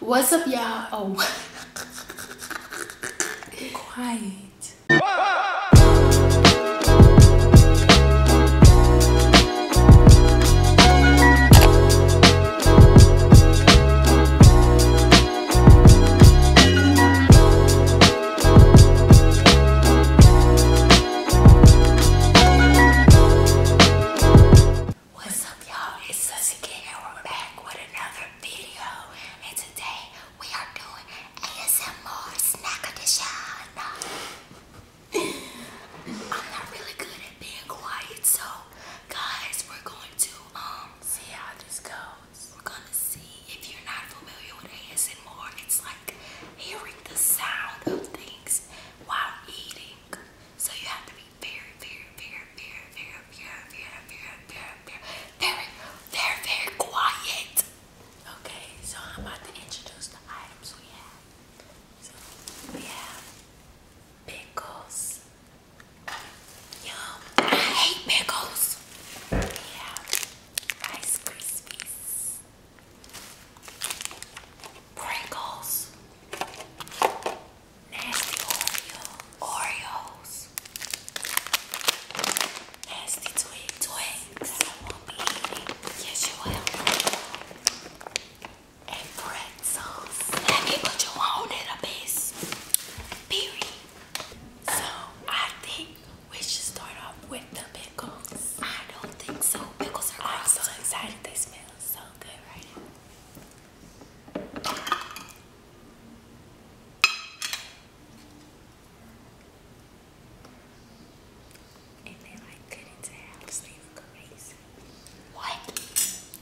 What's up, y'all? Oh, quiet. What's up y'all? It's Susie K, and we're back with another video. And today we are doing ASMR snack edition. I'm not really good at being quiet, so guys, we're going to um see how this goes. We're gonna see if you're not familiar with ASMR, it's like hearing the sound of things while eating. So you have to be very, very, very, very, very, very, very, very, very, very, very, very quiet. Okay, so I'm about to introduce the items we have. So we have pickles. Yum! I hate pickles. We have Rice Krispies. Pringles, Nasty Oreo, Oreos, Nasty Twig Twigs that I won't be eating. Yes, you will. And pretzels. Let me you on in a piece. Period. So, I think we should start off with the pickles. I don't think so. Pickles are I'm so excited they smell feels so good right And they like cut into halves, they look amazing. What?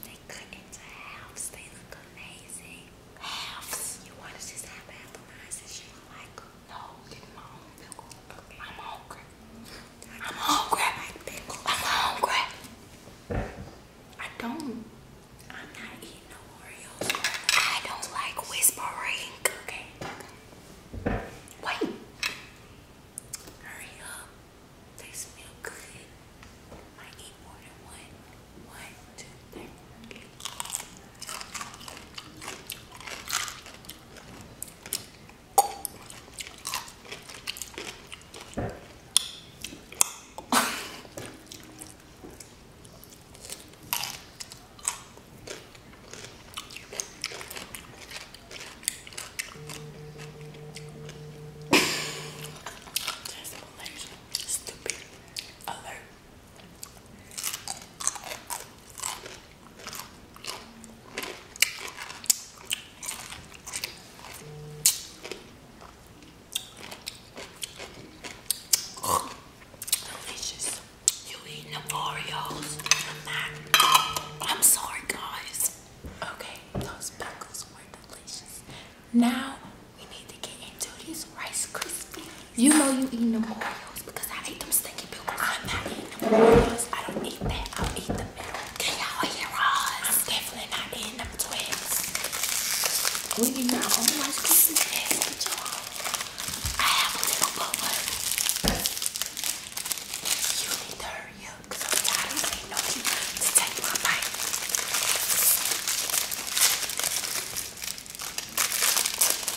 They cut into halves, they look amazing. Halves? You want to just have appetizers? You don't like No, I'm hungry. I'm hungry. I am hungry. I don't. I'm not eating no Oreos. I don't like whispering. Okay. Wait. Hurry up. They smell good. I eat more than one. One, two, three. Just Malaysia, stupid alert. Delicious. You eating the Oreos? I'm sorry, guys. Okay, those buckles were delicious. Now we need to get into these Rice Krispies. You know you eating the Oreos because I ate them stinky pickles. I'm not eating them noodles. I don't eat that. I'll eat the middle. Can y'all hear us? I'm definitely not eating them twins. We eat our own rice pieces. I have a little bubble. You need to hurry up because I don't say no to, take my bite.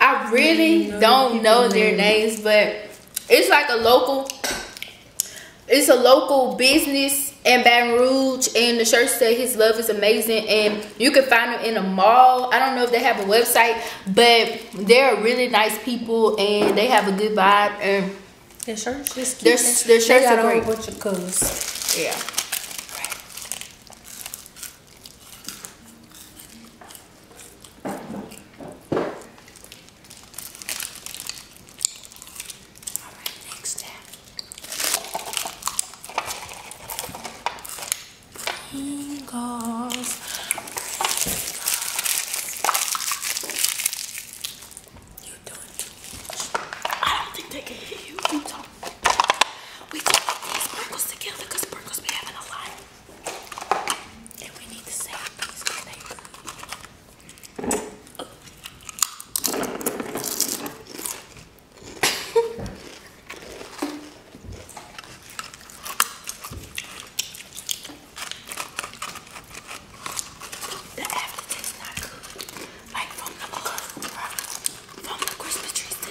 I really don't know their names, but it's like a local. It's a local business in Baton Rouge, and the shirt said "His love is amazing," and you can find them in a mall. I don't know if they have a website, but they're really nice people, and they have a good vibe. And their shirts, their, shirts are great. Yeah. All right, next step. Pringles. You're doing I don't think they can hear you. We do these Pringles together because Pringles be having a lot. And we need to save these for the aftertaste not good. Like from the from the Christmas trees to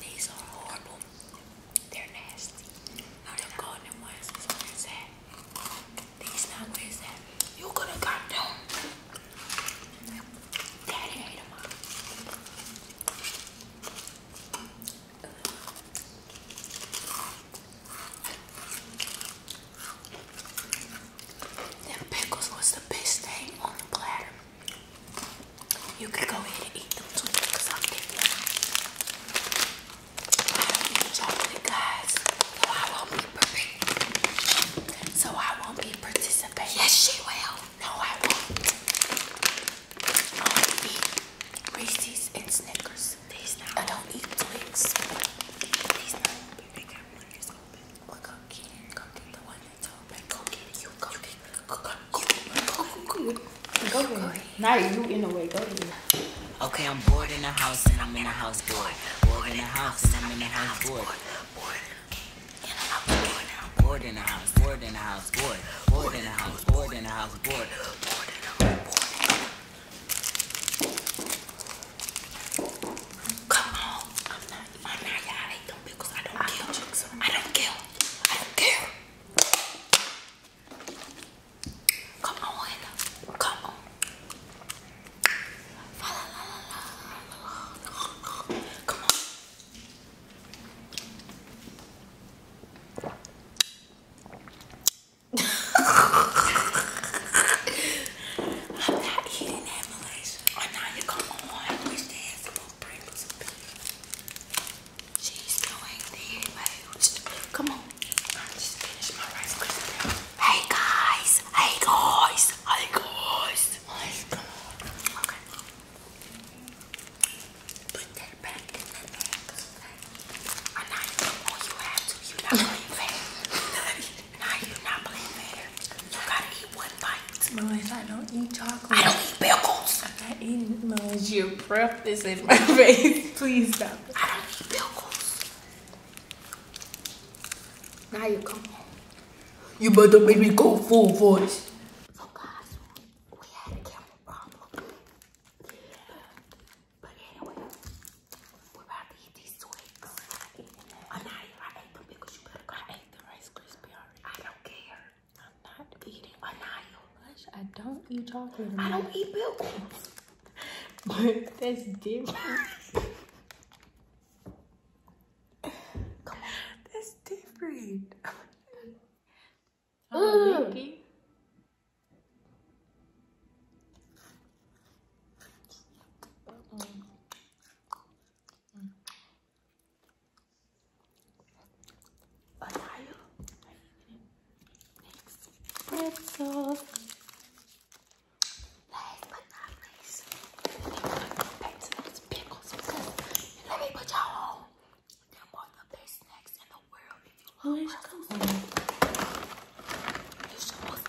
These are horrible. They're nasty. Now the golden ones These not where is You could have got them. Daddy ate them all. Them pickles was the best thing on the platter. You could go ahead and eat them too because I'm getting them. So I won't be perfect. So I won't be participating. Yes, she will. No, I won't. I'll eat Reese's and Snickers. I don't eat Twix. Okay, I'm bored in the house and I'm in the house bored. Bored in the house and I'm in the house bored. Bored bored. Bored in the house, bored in the house, bored. in the house, bored in the house, Bored in the house, bored. Come on. I'm not I'm not y'all yeah, ate pickles. I don't I I don't kill. I don't care. Come on. Come on. Come on. I'm not eating that, Malaysia. Oh, now you come on. We stand some more Pringles and beef. She's doing the huge. Come on. I just finished my rice crispy. Hey guys. Hey guys. Hey guys. Let's go. Okay. Put that back in the bag now you are not playing fair. you gotta eat one bite. Melissa, I don't eat chocolate. I don't eat pickles. I'm not eating Melissa. in my face. Please stop. I don't eat pickles. Now you come home. You better make me go full voice. But anyway, we're about to eat these twigs. I'm not here. I ate them because you better go. I the Rice Krispie I don't care. I'm not eating Anaya. Gosh, I don't eat chocolate. I don't eat pilgrims. but that's different. Come on. That's different. Oh. mm. Mickey. pretzels. Last but not least, we're going to go back to those pickles because let me put y'all on they're one of the best snacks in the world. If you love Where's you should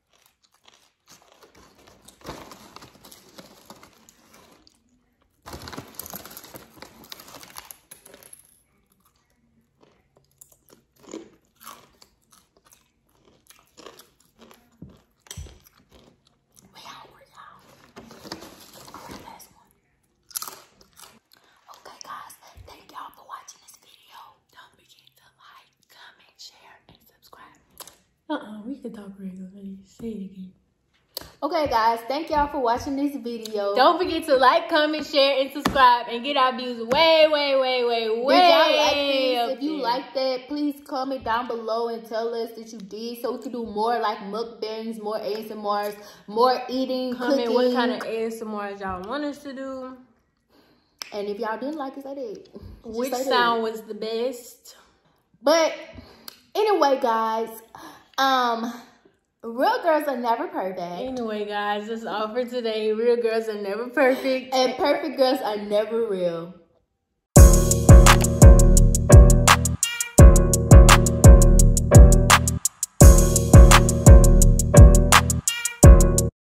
We out, we out. Alright, last one. Okay, guys, thank y'all for watching this video don't forget to like, comment, share, and subscribe. Uh-uh, we can talk regularly. Say it again. Okay, guys, thank y'all for watching this video. Don't forget to like, comment, share, and subscribe, and get our views way, way, way, way, way. Like if you like that, please comment down below and tell us that you did, so we can do more like mukbangs, more ASMRs, more eating. Comment cooking. what kind of ASMRs y'all want us to do. And if y'all didn't like it, I did. Which song was the best? But anyway, guys, um, real girls are never perfect. Anyway, guys, that's all for today. Real girls are never perfect. And perfect girls are never real.